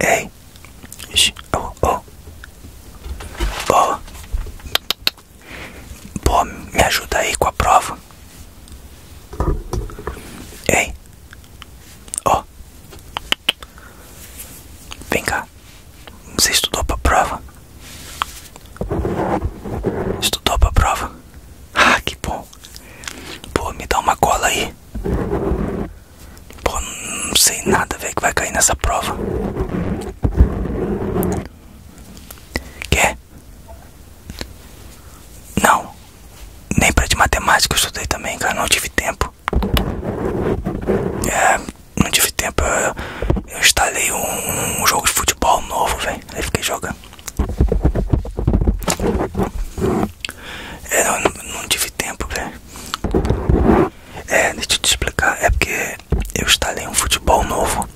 Ei, oh, oh, oh, me ajuda aí com a prova. Ei, oh. vem cá você estudou pra prova? Estudou pra prova? Ah, que bom. Pô, me dá uma cola aí. Pô, não sei nada, ver que vai cair nessa prova. Quer? Não. Nem pra de matemática eu estudei também, cara. Não tive tempo. É, não tive tempo. Eu, eu instalei um, jogo de futebol novo, velho. Aí fiquei jogando. É, não, tive tempo, velho. É, deixa eu te explicar. É porque eu instalei um futebol novo.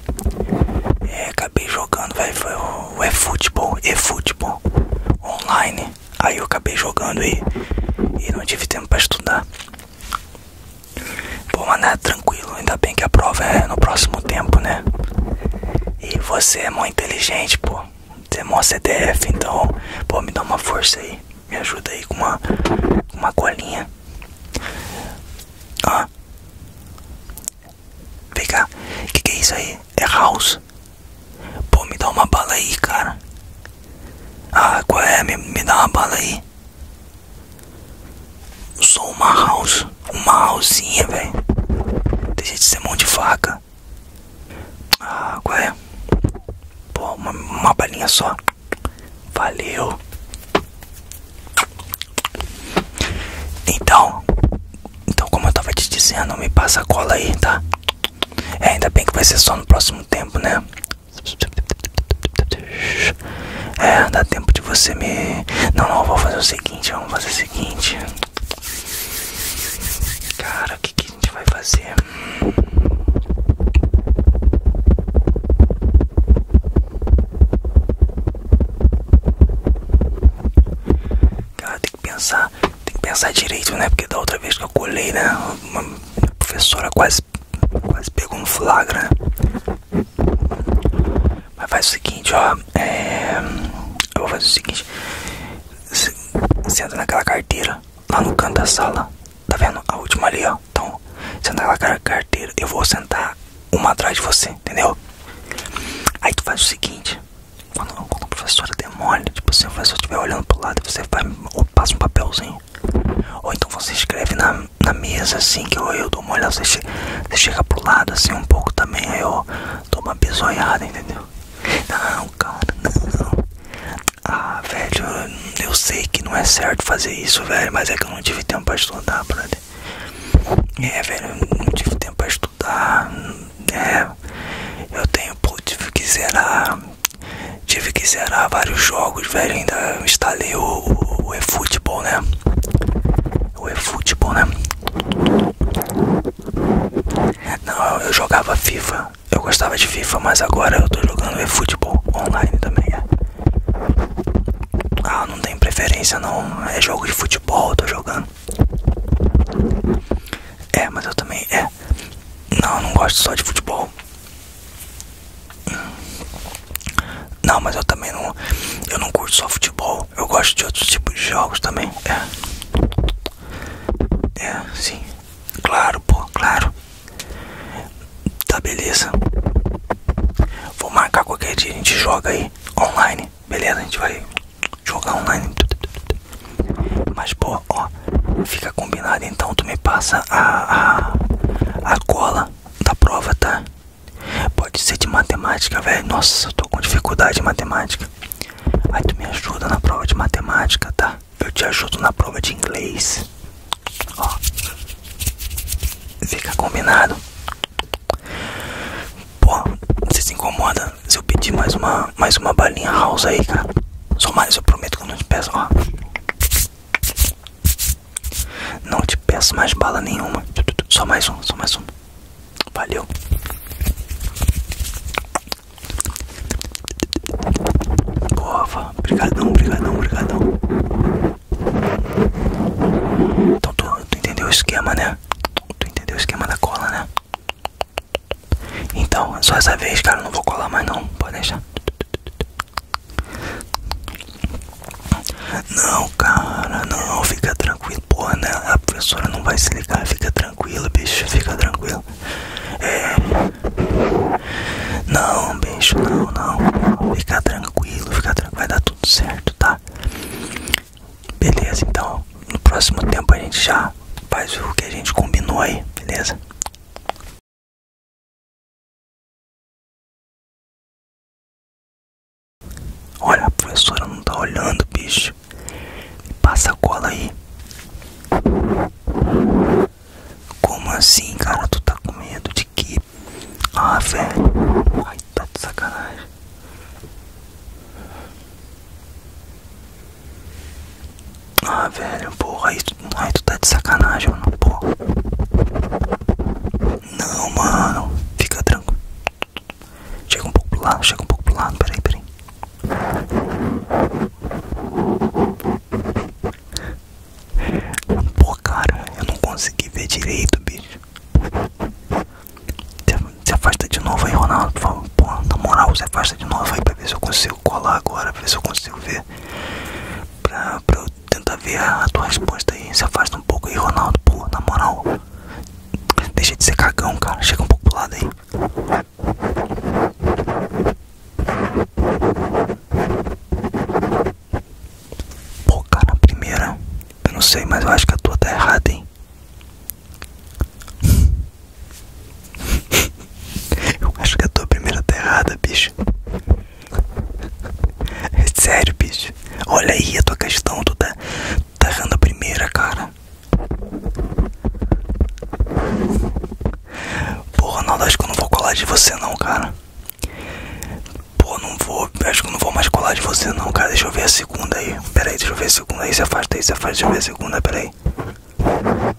É, acabei jogando, velho. Foi futebol eFootball, futebol online. Aí eu acabei jogando e, e não tive tempo para estudar. Vou mandar é tranquilo, ainda bem que a prova é no próximo tempo, né? E você é muito inteligente, pô. Você é mó CDF, então, pô, me dá uma força aí. Me ajuda aí com uma, uma colinha. Ó. Ah. Vem cá. O que é isso aí? É house? Pô, me dá uma bala aí, cara. Ah, qual é? me dá uma bala aí. Eu sou uma house. Uma housinha, velho. Deixa de ser mão de faca. Ah, qual é? Pô, uma, balinha só. Valeu. Então. Então, como eu tava te dizendo, me passa a cola aí, tá? É, ainda bem que vai ser só no próximo tempo, né? É, dá tempo de você me. Não, não, vou fazer o seguinte, vamos fazer o seguinte. Cara, o que, que a gente vai fazer? Cara, tem que pensar, tem que pensar direito, né? Porque da outra vez que eu colei, né? Uma professora quase quase, pegou um flagra, né? Mas faz o seguinte, ó. É, eu vou fazer o seguinte. Senta naquela carteira, lá no canto da sala. Tá vendo? A última ali, ó. Então, senta naquela carteira. Eu vou sentar uma atrás de você, entendeu? Aí tu faz o seguinte. Quando, quando a professora é demora, tipo, se assim, o professor estiver olhando pro lado, você vai passa um papelzinho. Ou então você escreve na, na mesa assim, que eu, dou uma olhada, você, chega pro lado assim um pouco também, aí eu dou uma bisoiada, entendeu? Não, cara, não. Ah, velho, eu, sei que não é certo fazer isso, velho, mas é que eu não tive tempo pra estudar, brother. É, velho, eu não tive tempo pra estudar. É, eu tenho, pô, tive que zerar Tive que zerar vários jogos, velho. Ainda instalei o, o, o eFootball, né? O eFootball, né? Não, eu jogava FIFA. Eu gostava de FIFA, mas agora eu tô jogando eFootball online também. É. Ah, não tem preferência não. É jogo de futebol, eu tô jogando. É, mas eu também. É. Não, eu não gosto só de futebol. Não, mas eu também não. Eu não curto só futebol. Eu gosto de outros tipos de jogos também. É. É, sim. Claro, pô, claro. Tá, beleza. Vou marcar qualquer dia. A gente joga aí online. Beleza, a gente vai jogar online. Mas, pô, ó. Fica combinado então, tu me passa a, a, a cola da prova, tá? Pode ser de matemática, velho. Nossa, eu tô com dificuldade em matemática. Aí tu me ajuda na prova de matemática, tá? Eu te ajudo na prova de inglês. Ó. Fica combinado. Pô, você se incomoda se eu pedir mais uma, mais uma balinha house aí, cara? Só mais, eu prometo que eu não te peço, ó. Não te peço mais bala nenhuma. Só mais um, só mais um. Valeu. Boa, brigadão, brigadão, brigadão. Então tu entendeu o esquema, né? Tu entendeu o esquema da cola, né? Então, só essa vez, cara, eu não vou colar mais não. Pode deixar. Não, cara, não, fica tranquilo. Porra, né? A professora não vai se ligar, fica tranquilo, bicho, fica tranquilo. É. Não, bicho, não, não. Fica tranquilo, fica tranquilo. Vai dar tudo certo, tá? Beleza, então. No próximo tempo a gente já faz o que a gente combinou aí, beleza? Olha, a professora não tá olhando, bicho. passa a cola aí. Como assim, cara? Tu tá com medo de que? Ah, velho. Ai, tá de sacanagem. Ah, velho, porra, aí tu, aí tu tá de sacanagem, mano, porra. Não, mano, fica tranquilo. Chega um pouco pro lado, chega um pouco pro lado, peraí, peraí. porra cara, eu não consegui ver direito, bicho. Se afasta de novo aí, Ronaldo, por favor. Pô, na moral, você afasta de novo aí pra ver se eu consigo colar agora, pra ver se eu consigo ver. Pra, pra eu tentar ver a tua resposta aí. Se afasta um pouco aí, Ronaldo, pô, na moral. Deixa de ser cagão, cara. Chega um pouco pro lado aí. Pô, cara, na primeira. Eu não sei, mas eu acho que a tua tá errada, hein? Eu acho que a tua primeira tá errada, bicho. É sério, bicho. Olha aí a tua questão, tu tá, tá errando a primeira, cara. Porra, Ronaldo, acho que eu não vou colar de você não, cara. Porra, não vou. Acho que eu não vou mais colar de você não, cara. Deixa eu ver a segunda aí. Pera aí, deixa eu ver a segunda aí. Se afasta aí, se afasta, deixa eu ver a segunda, pera aí.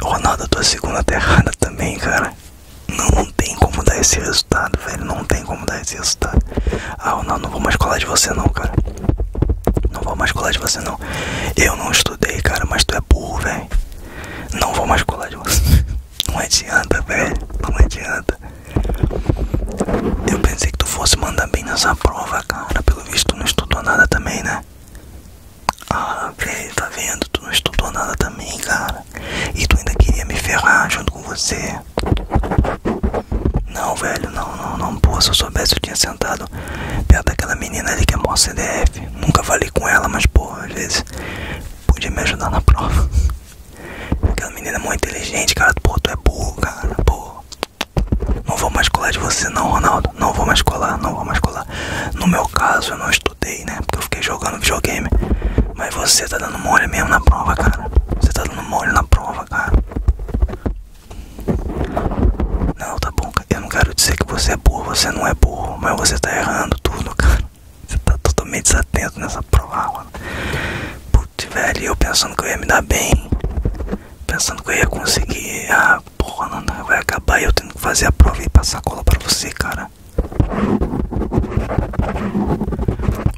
Ronaldo, tua segunda terrada tá também, cara. Não, tem como dar esse resultado, velho. Não tem como dar esse resultado. Ah, Ronaldo, não vou mais colar de você, não, cara. Não vou mais colar de você, não. Eu não estudei, cara, mas tu é burro, velho. Não vou mais colar de você. Não adianta, velho. Não adianta. Eu pensei que tu fosse mandar bem nessa prova, cara. Pelo visto, tu não estudou nada também, né? Ah, velho, tá vendo? Tu não estudou nada também, cara. E tu ainda queria me ferrar junto com você. Não, velho, não, não, não. Pô, se eu soubesse, eu tinha sentado perto daquela menina ali que é mó CDF. Nunca falei com ela, mas, pô, às vezes podia me ajudar na prova. Aquela menina é muito inteligente, cara. tu é burro, cara. Pô, não vou mais colar de você não, Ronaldo. Não vou mais colar, não vou mais colar. No meu caso, eu não estudei, né? Porque eu fiquei jogando videogame. Mas você tá dando mole mesmo na prova, cara. Você tá dando mole na prova, cara. Não, tá bom. Eu não quero dizer que você é boa, você não é boa. Mas você tá errando tudo, cara. Você tá totalmente desatento nessa prova porra. Putz, velho, eu pensando que eu ia me dar bem, pensando que eu ia conseguir. Ah, porra, não, vai acabar. Eu tenho que fazer a prova e passar cola pra você, cara.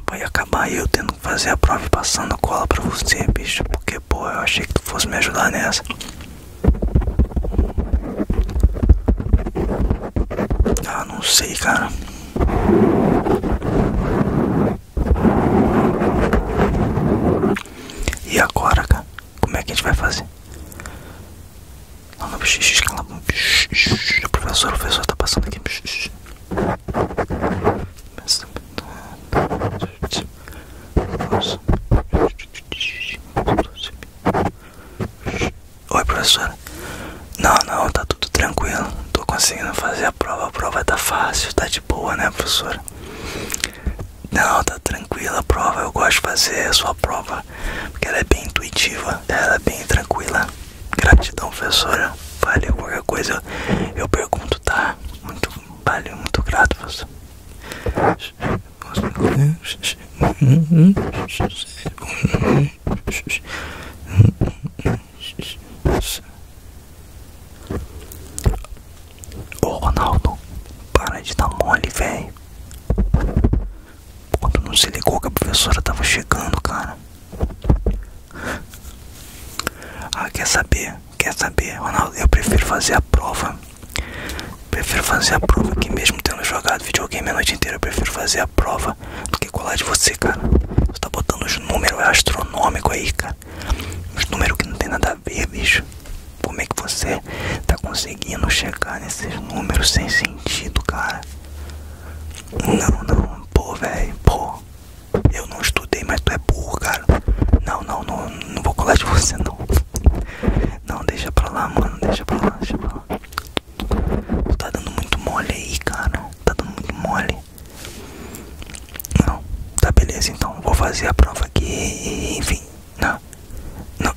Vai acabar eu tendo que fazer a prova e passando cola pra você, bicho. Porque, pô, eu achei que tu fosse me ajudar nessa. Ah, não sei, cara. E agora, cara? Como é que a gente vai fazer? Não, Professor, o professor está passando aqui. Oi, professora. Não, não, tá tudo tranquilo, tô conseguindo fazer a prova, a prova tá fácil, tá de boa, né, professora? Não, tá tranquila a prova, eu gosto de fazer a sua prova, porque ela é bem intuitiva, ela é bem tranquila. Gratidão, professora, valeu, qualquer coisa eu, eu pergunto, tá? Muito, valeu, muito grato, professora. Ô Ronaldo, para de dar mole, velho. Quando não se ligou que a professora tava chegando, cara. Ah, quer saber? Quer saber, Ronaldo? Eu prefiro fazer a prova. Prefiro fazer a prova aqui mesmo tendo jogado videogame a noite inteira. Eu prefiro fazer a prova do que é colar de você, cara. Você tá botando os números astronômicos aí, cara. Os números que não tem nada a ver, bicho. Como é que você tá conseguindo chegar nesses números sem sentido, cara? Não, não, pô, velho, pô. Eu não estudei, mas tu é burro, cara. Não, não, não, não vou colar de você, não. Não, deixa pra lá, mano, deixa pra lá, deixa pra lá. Tu tá dando muito mole aí, cara. Tá dando muito mole. Não, tá beleza, então vou fazer a prova aqui, enfim. Né? Não,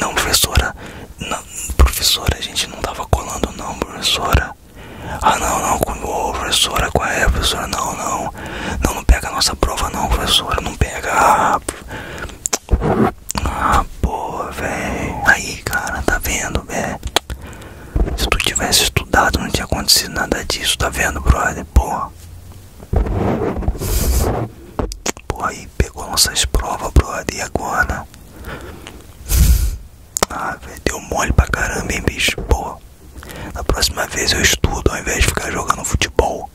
não, professora, não, professora, a gente não tava colando não, professora. Ah não, não, oh, professora, qual é, professora? Não, não, não, não pega a nossa prova não, professora, não pega. Ah, ah pô, velho. Aí, cara, tá vendo, velho? Se tu tivesse estudado, não tinha acontecido nada disso, tá vendo, brother? Porra. Porra, aí pegou nossas provas, brother. E agora? Ah, velho, deu mole pra caramba, hein, bicho? Porra. Na próxima vez eu estudo ao invés de ficar jogando futebol.